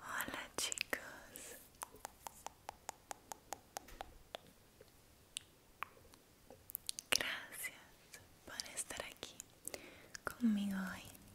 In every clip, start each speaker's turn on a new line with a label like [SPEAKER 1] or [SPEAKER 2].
[SPEAKER 1] Olá, chicos. Gracias por estar aqui comigo hoje.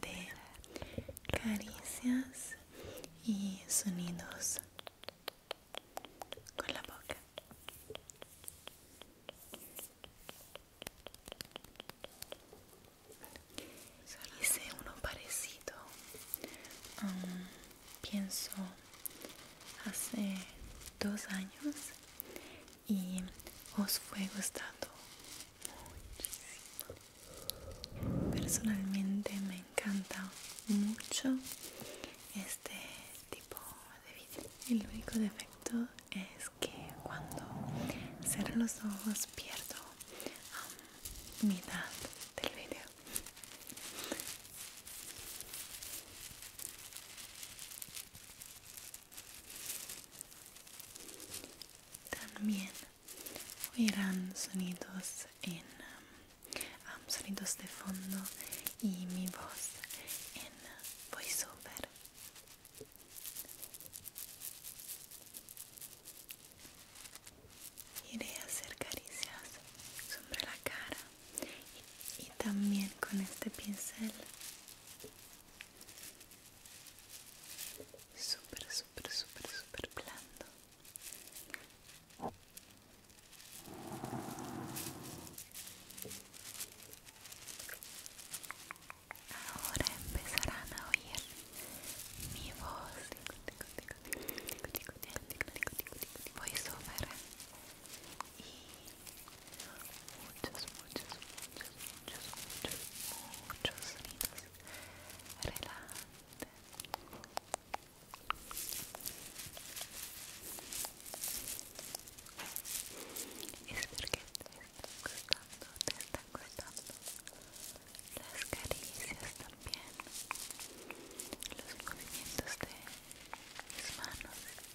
[SPEAKER 1] de caricias y sonidos con la boca. Hice uno parecido. pienso hace dos años y os fue gustando muchísimo. Personalmente me encanta mucho este tipo de vídeo. El único defecto es que cuando cierro los ojos pierdo um, mitad del vídeo. También oirán sonidos en um, um, sonidos de fondo y mi voz en voiceover iré a hacer caricias sobre la cara y, y también con este pincel Súper, súper, súper, súper blando. Ahora empezarán a oír mi voz. Voy y muchos, muchos, muchos, muchos, muchos es que te están gustando, te están gustando las caricias también, los movimientos de mis manos. rico.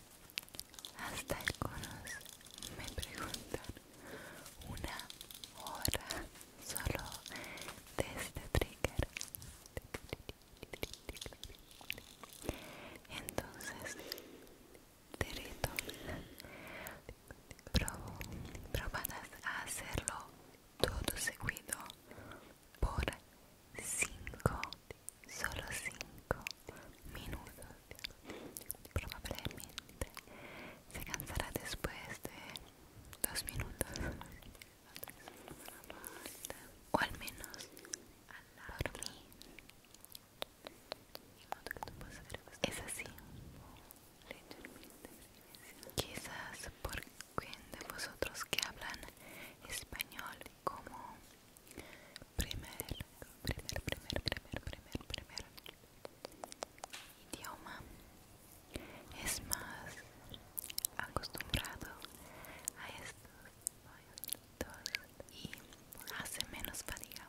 [SPEAKER 1] Hasta el conos me preguntan una hora solo de este trigger. Entonces, te rito probadas a hacerlo todo seguido por 5 solo 5 minutos probablemente se cansará después de 2 minutos o al menos por mí es así quizás por quien de vosotros que hablan español como primer, primer, primer, primer, primer, primer idioma es más acostumbrado a estos y hace menos fatiga.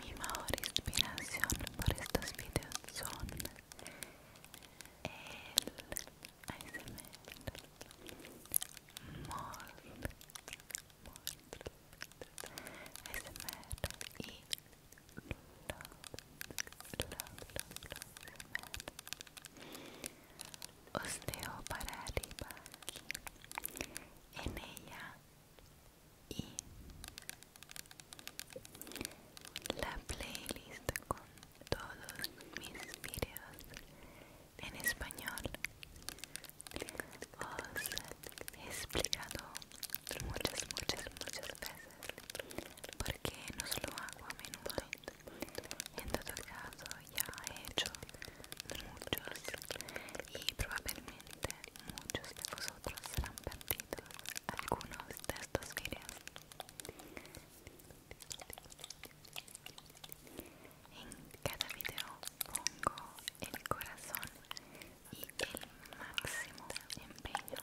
[SPEAKER 1] Mi mayor inspiración por estos videos son el ASMR y os dejo para arriba en ella y la playlist con todos mis vídeos en español. Os he explicado muchas, muchas, muchas veces porque no solo hago a menudo en todo caso ya he hecho muchos y probablemente muchos de vosotros serán perdidos algunos de estos videos en cada video pongo el corazón y el máximo empeño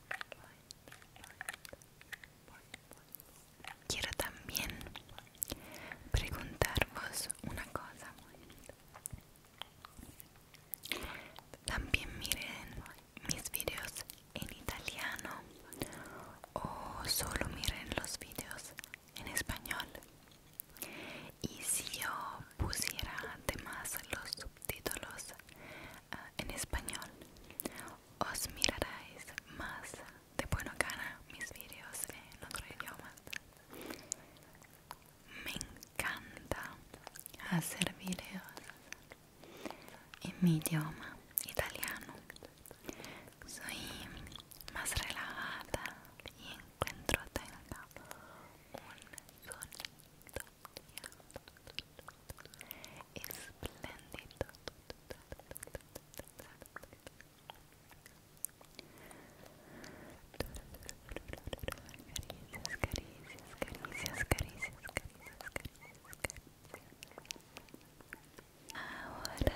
[SPEAKER 1] Quiero también preguntarvos una cosa. También miren mis videos en italiano o solo miren los videos en español. Y si yo pusiera además los Títulos ah, en español. Os miraréis más de buena gana mis vídeos en otro idioma. Me encanta hacer vídeos en mi idioma italiano. Soy más relajada y encuentro tenga un sonido espléndido caricias, ahora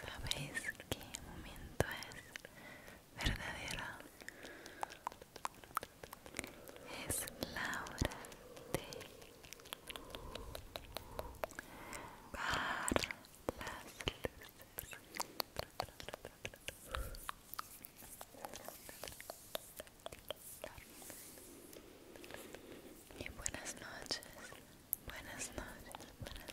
[SPEAKER 1] ¿sabéis qué momento es? verdadera es la hora de las luces. Y buenas noches, buenas noches, buenas noches.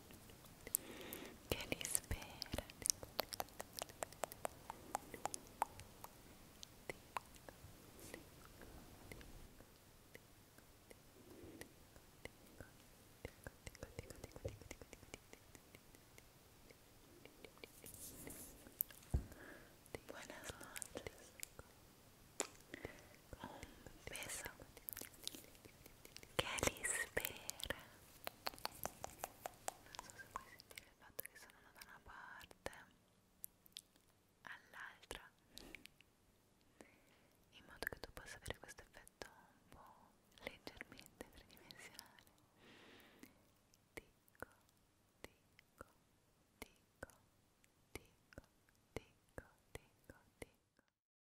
[SPEAKER 1] que le Buenas noches. Un beso che li spera non so se puoi sentire il fatto che sono da una parte all'altra in modo che tu possa avere questo effetto un po' leggermente tridimensionale dico, dico, dico, dico, dico, dico, dico